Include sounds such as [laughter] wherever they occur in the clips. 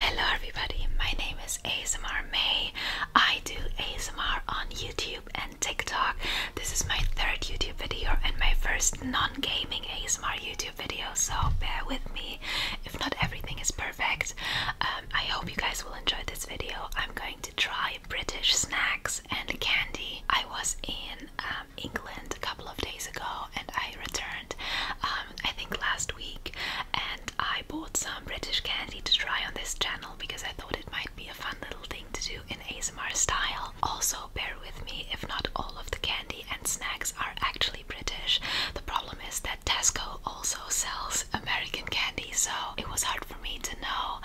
Hello everybody, my name is ASMR May. I do ASMR on YouTube and TikTok. This is my third YouTube video and my first non-gaming ASMR YouTube video, so bear with me if not everything is perfect. Um, I hope you guys will enjoy this video. I'm going to try British snacks and candy. I was in um, England a couple of days ago and I returned um, I think last week and I bought some British candy to try on this channel because I thought it might be a fun little thing to do in ASMR style. Also bear with me if not all of the candy and snacks are actually British. The problem is that Tesco also sells American candy so it was hard for me to know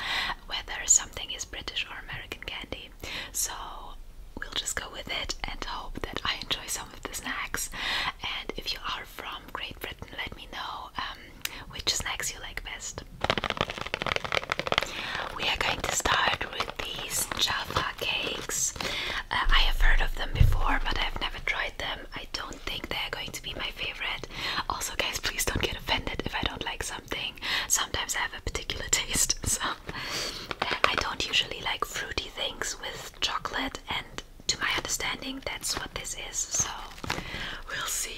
whether something is British or American candy. So we'll just go with it and hope that I enjoy some the snacks. And if you are from Great Britain, let me know um, which snacks you like best. We are going to start with these Java cakes. Uh, I have heard of them before, but I've never tried them. I don't think they're going to be my favorite. Also, guys, please don't get offended if I don't like something. Sometimes I have a particular [laughs] taste, so uh, I don't usually like fruity things with chocolate and to my understanding, that's what this is. So we'll see.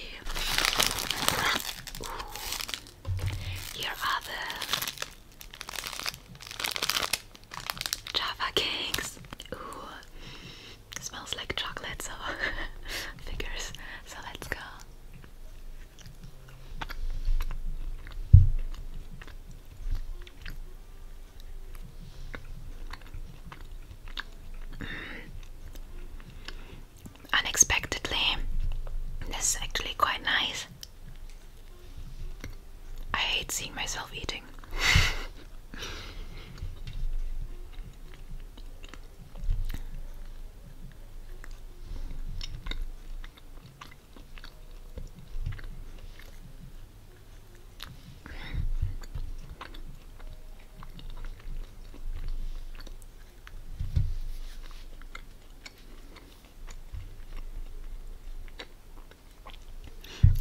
Here are the Java cakes. Ooh, smells like chocolate, so [laughs] figures. So let's go. Unexpectedly, this is actually quite nice. I hate seeing myself eating.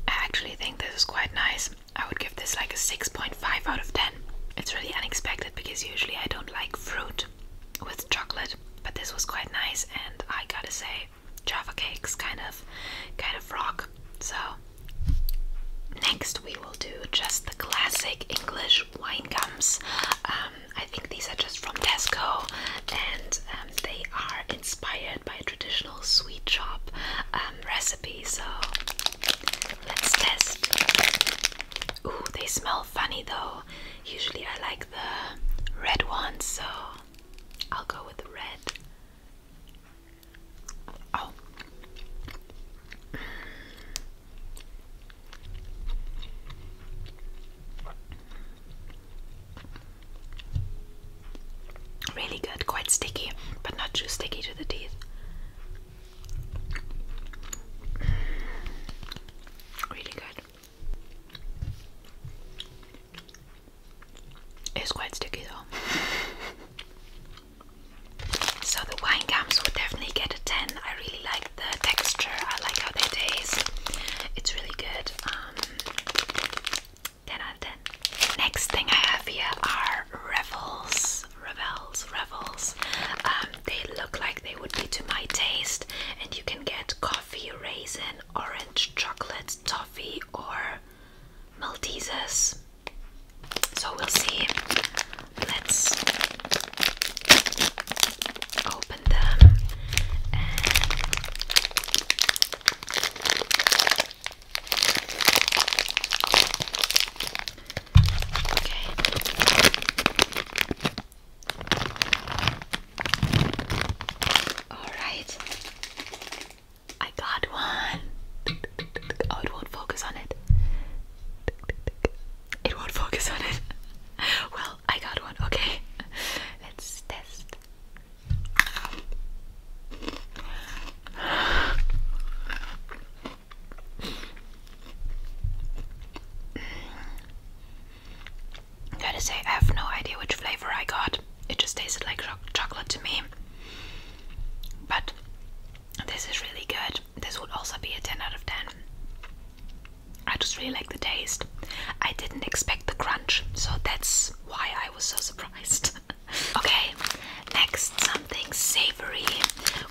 I actually think this is quite nice. I would give this like a 6.5 out of 10. It's really unexpected because usually I don't like fruit with chocolate, but this was quite nice, and I gotta say, Java cakes kind of kind of rock. So next we will do just the classic English wine gums. Um, I think these are just from Tesco and um, they are inspired by traditional sweet shop um, recipe. So let's test. Ooh, they smell funny though. Usually I like the red ones, so I'll go with red. Oh. Really good, quite sticky, but not too sticky to the teeth. Really good. It's quite sticky though. [laughs] so the wine gums would definitely get a 10. I really like the texture. I like how they taste. It's really good. Um, 10 out of 10. Next thing I have here are Revels. Revels, Revels. Um, they look like they would be to my taste and you can get raisin, orange, chocolate, toffee, or Maltesers. So we'll see. Let's open them Okay. Alright. I got one. Oh, it won't focus on it. It won't focus on it. Well, I got one. Okay. Let's test. Gotta say, I have no idea which flavor I got. It just tasted like chocolate to me. But this is really good. This would also be a 10 out of 10. I just really like the taste. I didn't expect the crunch, so that's why I was so [laughs] surprised. [laughs] okay, next something savory.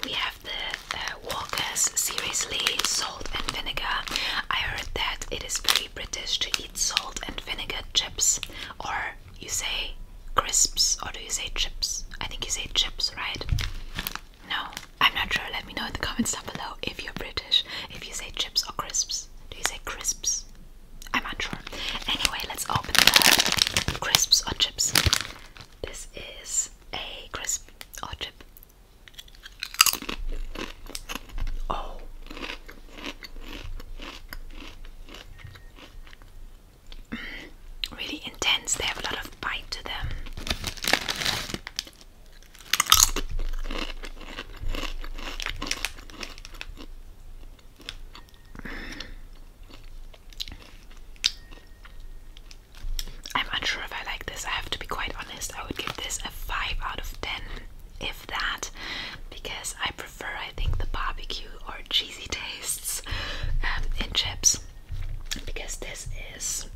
We have the um, Walker's Seriously Salt and Vinegar. I heard that it is very British to eat salt and vinegar chips, or you say crisps, or do you say chips? I think you say chips, right? No, I'm not sure. Let me know in the comments down below if you're British, if you say chips or crisps. Do you say crisps? I'm not sure. Anyway, let's open the crisps or chips. This is a crisp or chip. Oh. really intense. They have a lot of bite to them. I'm unsure if I like this. I have to be quite honest. I would give this a 5 out of 10, if that, because I prefer, I think, the barbecue or cheesy tastes um, in chips. Because this is,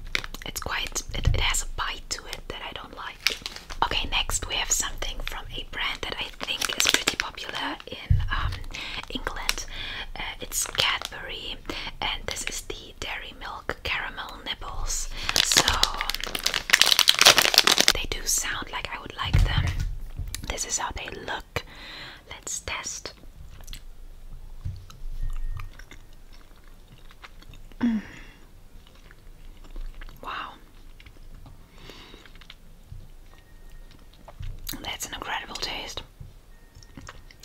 it's quite, it, has a bite to it that I don't like. Okay, next we have something from a brand that I think is pretty popular in um, England. Uh, it's Cadbury, and this is the Dairy Milk Caramel nipples. So they do sound like I would like them. This is how they look. Let's test. Mm. Wow. That's an incredible taste.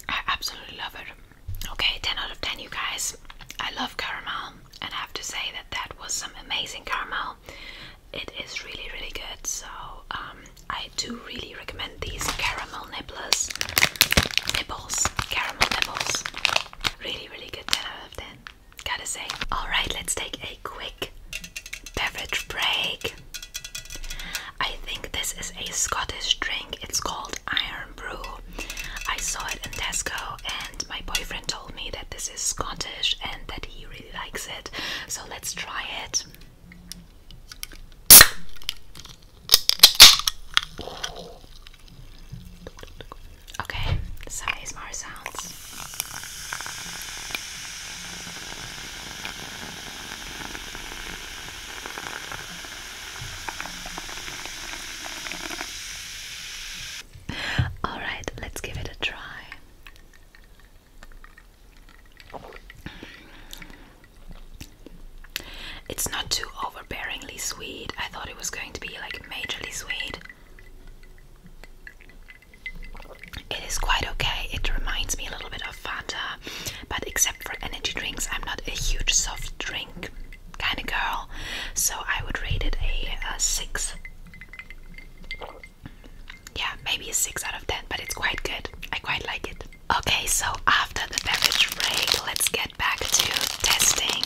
I absolutely love it. Okay, 10 out of 10, you guys. I love caramel, and I have to say that that was some amazing caramel. It is really, really good. So, um, I do really recommend these caramel nibblers. Nibbles, caramel nibbles. Really, really good. 10 out of 10. Gotta say. Alright, let's take a quick beverage break. I think this is a Scottish drink. It's called Iron Brew. I saw it in Tesco, and my boyfriend told me that this is Scottish and that he really likes it. So let's try it. Okay, some ASMR sounds. All right, let's give it a try. It's not too overbearingly sweet. I thought it was going to be like majorly sweet. It is quite okay. It reminds me a little bit of Fanta but except for energy drinks, I'm not a huge soft drink kind of girl, so I would rate it a, a 6. Yeah, maybe a 6 out of 10, but it's quite good. I quite like it. Okay, so after the beverage break, let's get back to testing.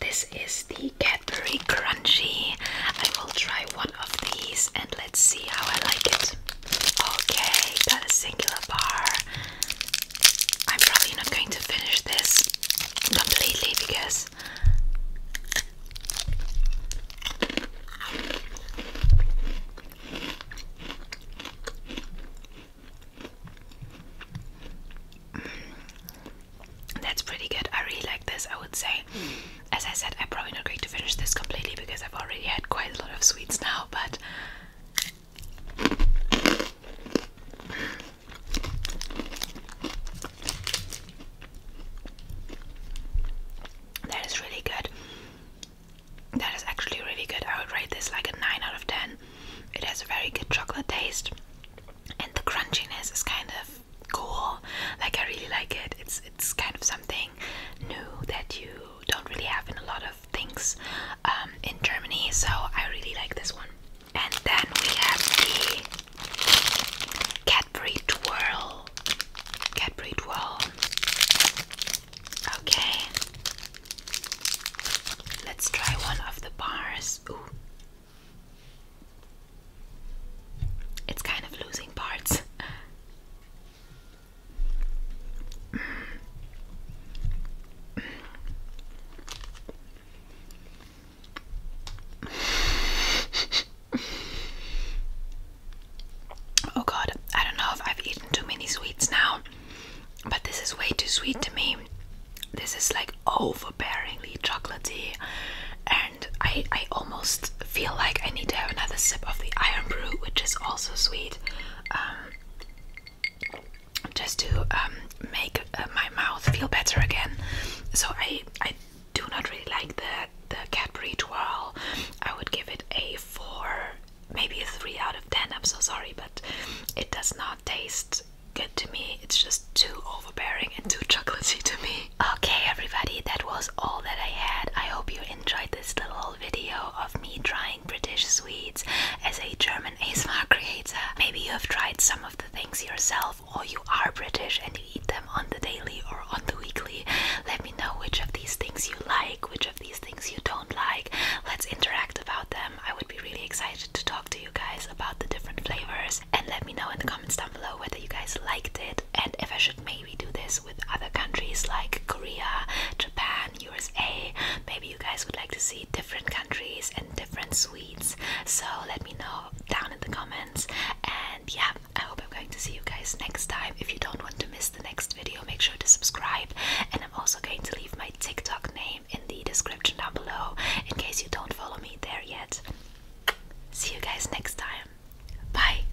This is the Cadbury Crunchy. I will try one of these and let's see how I like it. Okay, got a singular bar. I'm probably not going to finish this completely because mm, that's pretty good. I really like this, I would say. As I said, I'm probably not going to finish this completely because I've already had quite a lot of sweets now, but that is really good. That is actually really good. I would rate this like a 9 out of 10. It has a very good chocolate taste, and the crunchiness is kind of cool. Like I really like it. It's it's kind of something new that you don't really have in a lot of things um, in Germany, so I really like this one. And then we have the Cadbury Twirl. Cadbury Twirl. Okay. Let's try one of the bars. Ooh. It's kind of losing parts. [laughs] Oh god, I don't know if I've eaten too many sweets now, but this is way too sweet to me. This is like overbearingly chocolaty, and I I almost feel like I need to have another sip of the iron brew, which is also sweet. Um, just to um, make uh, my mouth feel better again. So I I do not really like the the Cadbury twirl. I would give it a four, maybe a three out of ten. I'm so sorry, but it does not taste good to me. It's just too overbearing and too [laughs] chocolatey to me. Okay, everybody, that was all that I had. I hope you enjoyed this little video of me trying British sweets as a German ASMR creator. Maybe you have tried some of the things yourself, or you are British and you eat them on the daily or on the weekly. Let me know which of these things you like, which of these things you don't like. Let's interact about them. I would be really excited to talk to you guys about the different flavors. And let me know in the comments down below whether you guys liked it and if I should maybe do this with other countries like Korea, Japan, USA. Maybe you guys would like to see different countries and different sweets. So let me know down in the comments. And yeah, I hope I'm going to see you guys next time. If you don't want to miss the next video, make sure to subscribe. And I'm also going to leave my TikTok name in the description down below in case you don't follow me there yet. See you guys next time. Bye.